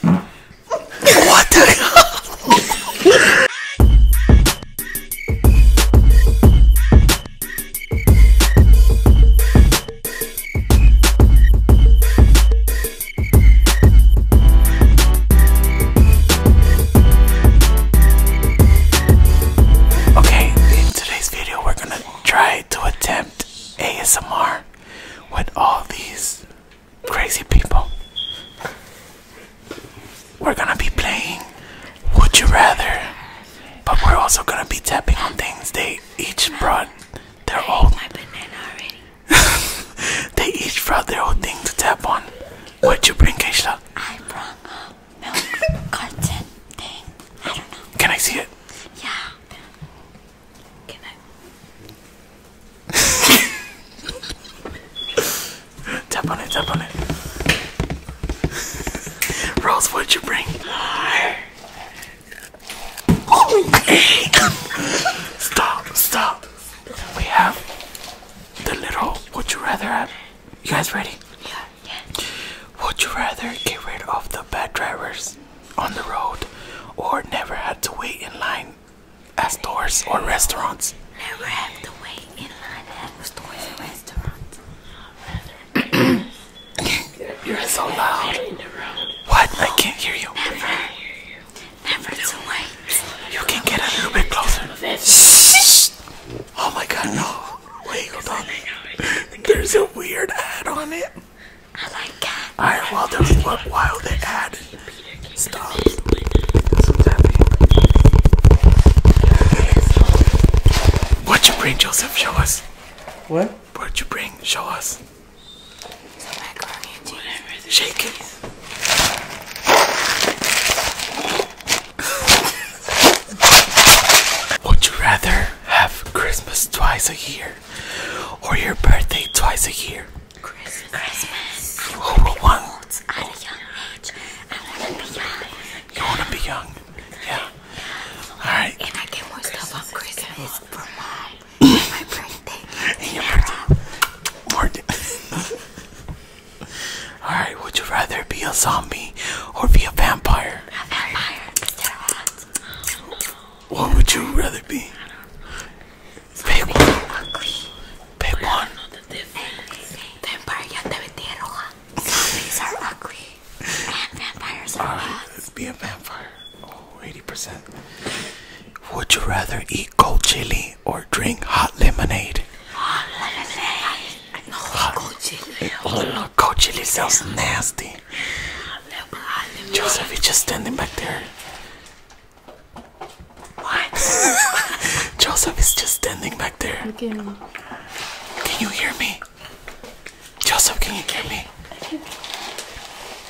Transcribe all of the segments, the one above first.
what the hell? okay, in today's video, we're gonna try to attempt ASMR with all these crazy people. We're gonna be playing Would You Rather, but we're also gonna be tapping on things they each brought their own. My banana already. they each brought their own thing to tap on. What'd you bring, Keisha? I brought a milk carton thing. I don't know. Can I see it? Yeah. Can tap on it, tap on it. Rose, what'd you bring? stop, stop. We have the little would you rather have. You guys ready? yeah. Would you rather get rid of the bad drivers on the road or never had to wait in line at stores or restaurants. Never have to wait in line at stores and restaurants. You're so loud. What? I can't hear you. Never. Never to wait. You can get a little bit closer. Shh. Oh my god, no. Wait, hold on. There's a weird ad on it. I like cats. I while they're while they add stuff. What'd you bring, Joseph? Show us. What? What'd you bring? Show us. Some macaroni and cheese. Shake it. Would you rather have Christmas twice a year or your birthday twice a year. Christmas. Christmas. want? I want to be young. You want to be young? Yeah. All right. And I get more stuff on Christmas for mom. my birthday. And your birthday. More. All right. Would you rather be a zombie or be a vampire? A vampire. What would you rather be? Pick one. Pick one. Vampire ya te metieron. Zombies are ugly. And vampires are hot. Uh, be a vampire. Oh, 80%. Would you rather eat cold chili or drink hot lemonade? Hot lemonade. No, hot. cold chili. Cold chili sounds nasty. Joseph is just standing back there. What? Joseph is just standing back there. Can you hear me? Joseph, can you hear me?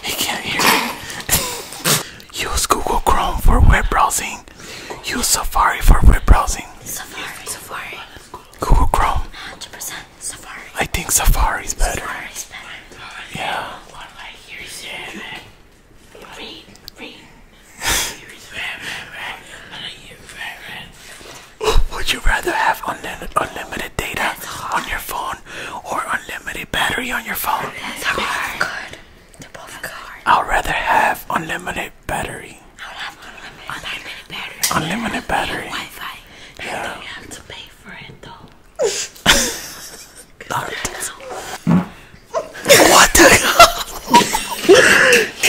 He can't hear me. Use Google Chrome for web browsing. Use Safari for web browsing. Safari. Safari. Google Chrome. 100%. I think Safari's better. Yeah. Would you rather have unlim unlimited data on your phone or unlimited battery on your phone? That's Good. They're both good. I'd rather have unlimited Unlimited battery. unlimited, battery. Unlimited battery. Wi Yeah. You have to pay for it though. what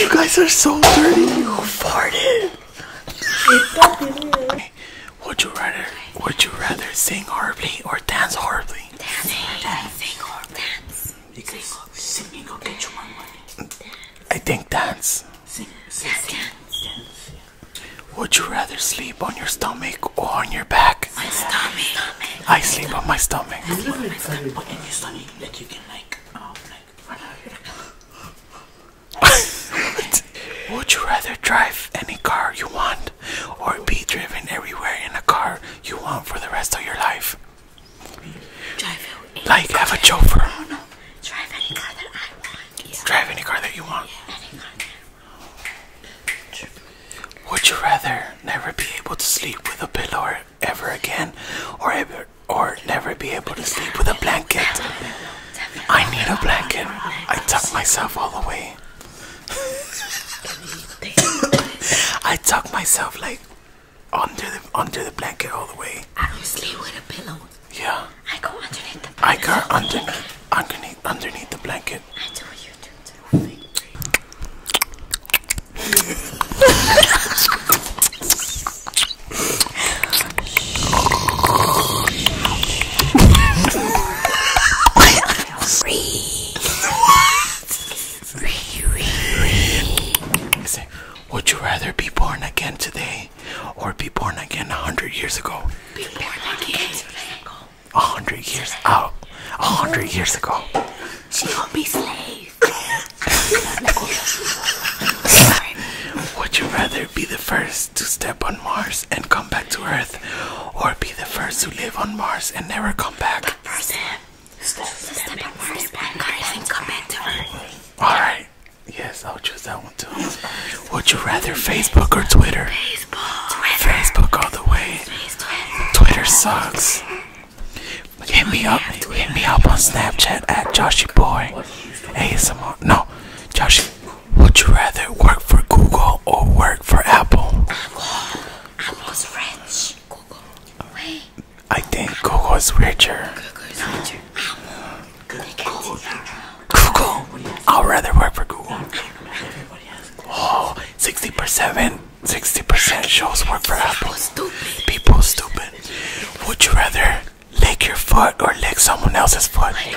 you guys are so dirty. You farted. Would you rather would you rather sing horribly or dance horribly? Dancing, dance, dance. Sing, dance. Because singing will get you more money. I think dance. Would you rather sleep on your stomach or on your back? My stomach. I sleep on my stomach. Um, Would you rather drive any car you want, or be driven everywhere in a car you want for the rest of your life? Like, have a chauffeur. Oh, Drive any car that I want. Drive any car that you want. Would you rather never be able to sleep with a pillow ever again, or ever, or never be able to sleep with a blanket? I need a blanket. I tuck myself all the way. I tuck myself like under the under the blanket all the way. I don't sleep with a pillow. Yeah. I go underneath the. I go underneath underneath underneath the blanket. I do you do too. Free. Free. Free. Free. Would you rather be born again today or be born again a hundred years ago? Be born again a hundred years out. A hundred years ago. She will be slave. Would you rather be the first to step on Mars and come back to Earth or be the first to live on Mars and never come back? Person. Alright. Yes, I'll choose that one too. Would you rather Facebook or Twitter? Facebook. Twitter. Facebook all the way. Twitter, sucks. Hit me up. Hit me up on Snapchat at Joshieboy. Boy. ASMR. No, Joshie. Would you rather work for Google or work for Apple? Apple. Apple's rich. Google. Wait. I think Google is richer. Google is richer. Google. Google. I'd rather work for Google. Oh, 60%, 60% shows work for Apple. People stupid. Would you rather lick your foot or lick someone else's foot? let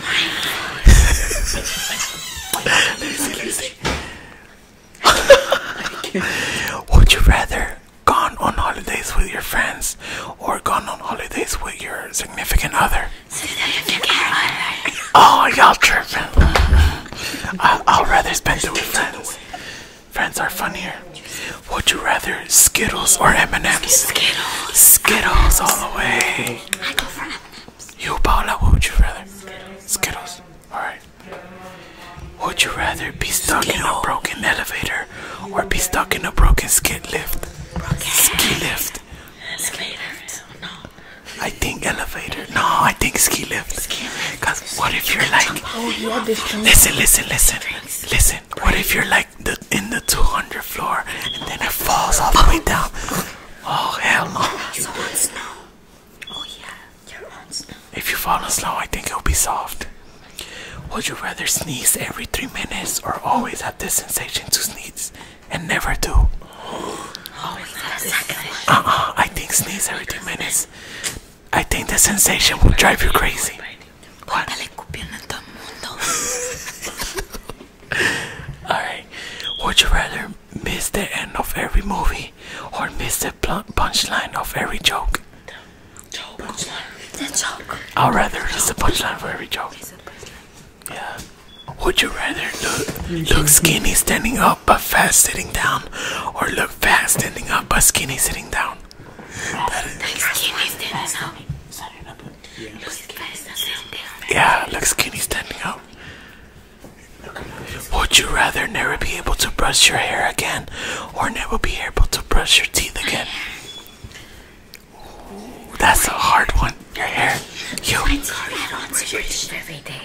me see, let me see. Would you rather gone on holidays with your friends or gone on holidays with your significant other? Oh, y'all tripping. I, will rather spend it with friends. Friends are funnier. Would you rather Skittles or M&M's? Skittles. Skittles all the way. I go for M&M's. You, Paula, would you rather? Skittles. Skittles. All right. Would you rather be stuck in a broken elevator or be stuck in a broken skid lift? Ski lift. Elevator. No. I think elevator. No, I think ski lift. lift. Because what if you're like. Oh, listen, listen, listen. Listen. What if you're like the, in the 200th floor and then it falls all the way down? Oh, hell no. Oh, if you fall on snow, I think it'll be soft. Would you rather sneeze every three minutes or always have this sensation to sneeze and never do? Uh uh, I think sneeze every three minutes. I think the sensation will drive you crazy. Alright, would you rather miss the end of every movie or miss the punchline of every joke. The joke. Punchline. The joke. Or rather, the the punchline for every joke. Yeah. Would you rather look skinny standing up but fat sitting down, or look fat standing up but skinny sitting down? Yeah. Look skinny standing up. Would you rather never be able to brush your hair again or never be able to brush your teeth again? that's a hard one. Your hair. You. I have to brush it every day.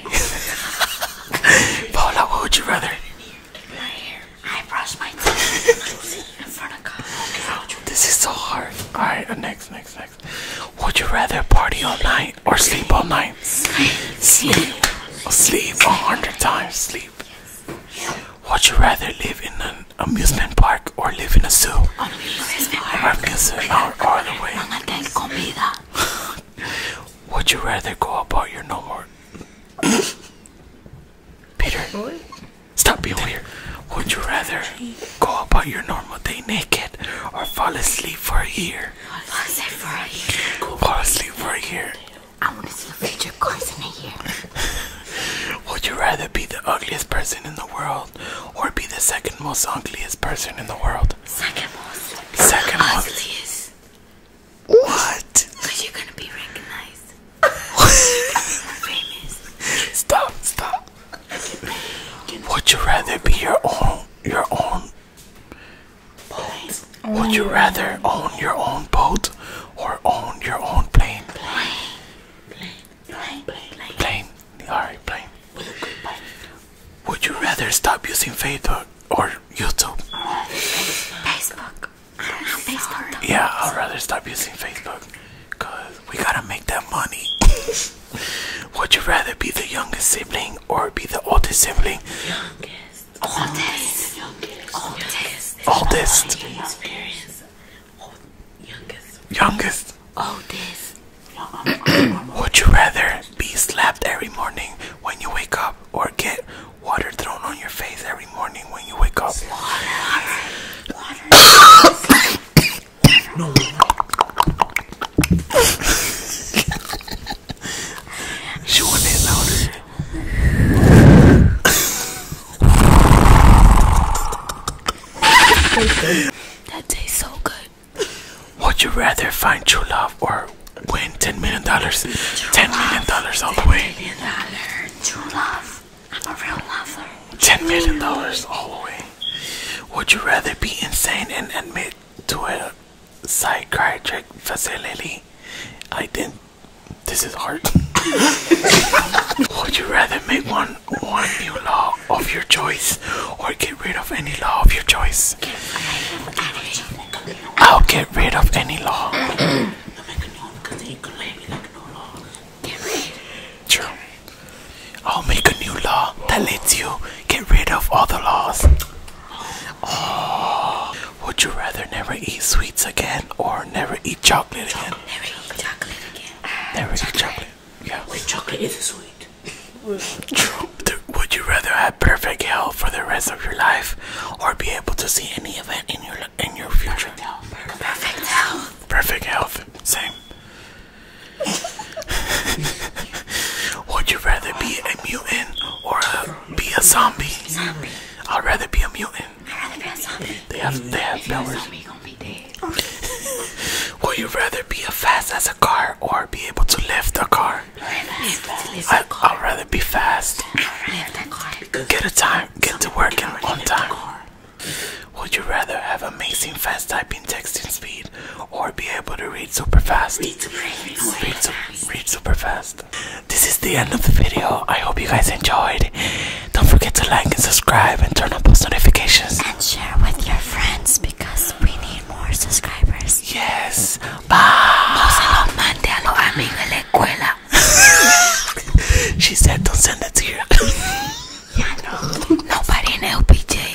Paula, what would you rather? My hair. I brush my teeth in front of God. This is so hard. Alright, uh, next, next, next. Would you rather party all night or sleep all night? Sleep. Sleep. a hundred times. Sleep. Would you rather live in an amusement park or live in a zoo? Amusement park. Amusement park. All the way. Would you rather go about your normal? Peter. Stop being weird. Would you rather go about your normal day naked or fall asleep for a year. Fall asleep for a year. Fall asleep for a year. I want to see your future course in a year. Would you rather be the ugliest person in the world or be the second most ugliest person in the world? Second most. Second most. Ugliest. What? Because you're gonna be recognized. Stop, stop. Would you rather be your own your own boat? Would you rather own your own boat or own your own plane? Plane. Plane. Plane. Plane. Alright, plane. Would you rather stop using Facebook or YouTube? Facebook. Facebook. Yeah, I'd rather stop using Facebook. Cause we gotta make that money. Would you rather be the youngest sibling or be the oldest sibling? Youngest. Oldest. Youngest. Oldest. Oldest. Experience. Youngest. Youngest. Oldest. Would you rather be slapped every morning when you wake up or get water thrown on your face every morning when you wake up? Water. Water. No. she wanted it louder. that tastes so good. Would you rather find true love or win ten million dollars? Ten million dollars all the way. Million dollar true love. Ten million dollars all the way. Would you rather be insane and admit to a psychiatric facility? I didn't. This is hard. Would you rather make one one new law of your choice, or get rid of any law of your choice? I'll get rid of any law. True. I'll make a new law that lets you get rid of all the laws. Oh, would you rather never eat sweets again or never eat chocolate again? Never eat chocolate again. Never chocolate. eat chocolate. Yeah. Wait, chocolate is sweet. True. Would you rather have perfect health for the rest of your life or be able to see any event in your life? in your future. Perfect health. Perfect health. Perfect health. Same. Would you rather be a mutant or a, be a zombie? Zombie. I'd rather be a mutant. I'd rather be a zombie. They have they have powers. Zombie gonna be dead. Would you rather be as fast as a car or be able to lift a car? I, I'd rather be fast. Get a time. Get to work on time. Would you rather have amazing fast typing texting speed or be able to read super fast? Read super, read read super, fast. This is the end of the video. I hope you guys enjoyed. Don't forget to like and subscribe and turn on post notifications. And share with your friends because we need more subscribers. Yes. Bye. she said, don't send that to you. yeah, no. Nobody in LPG.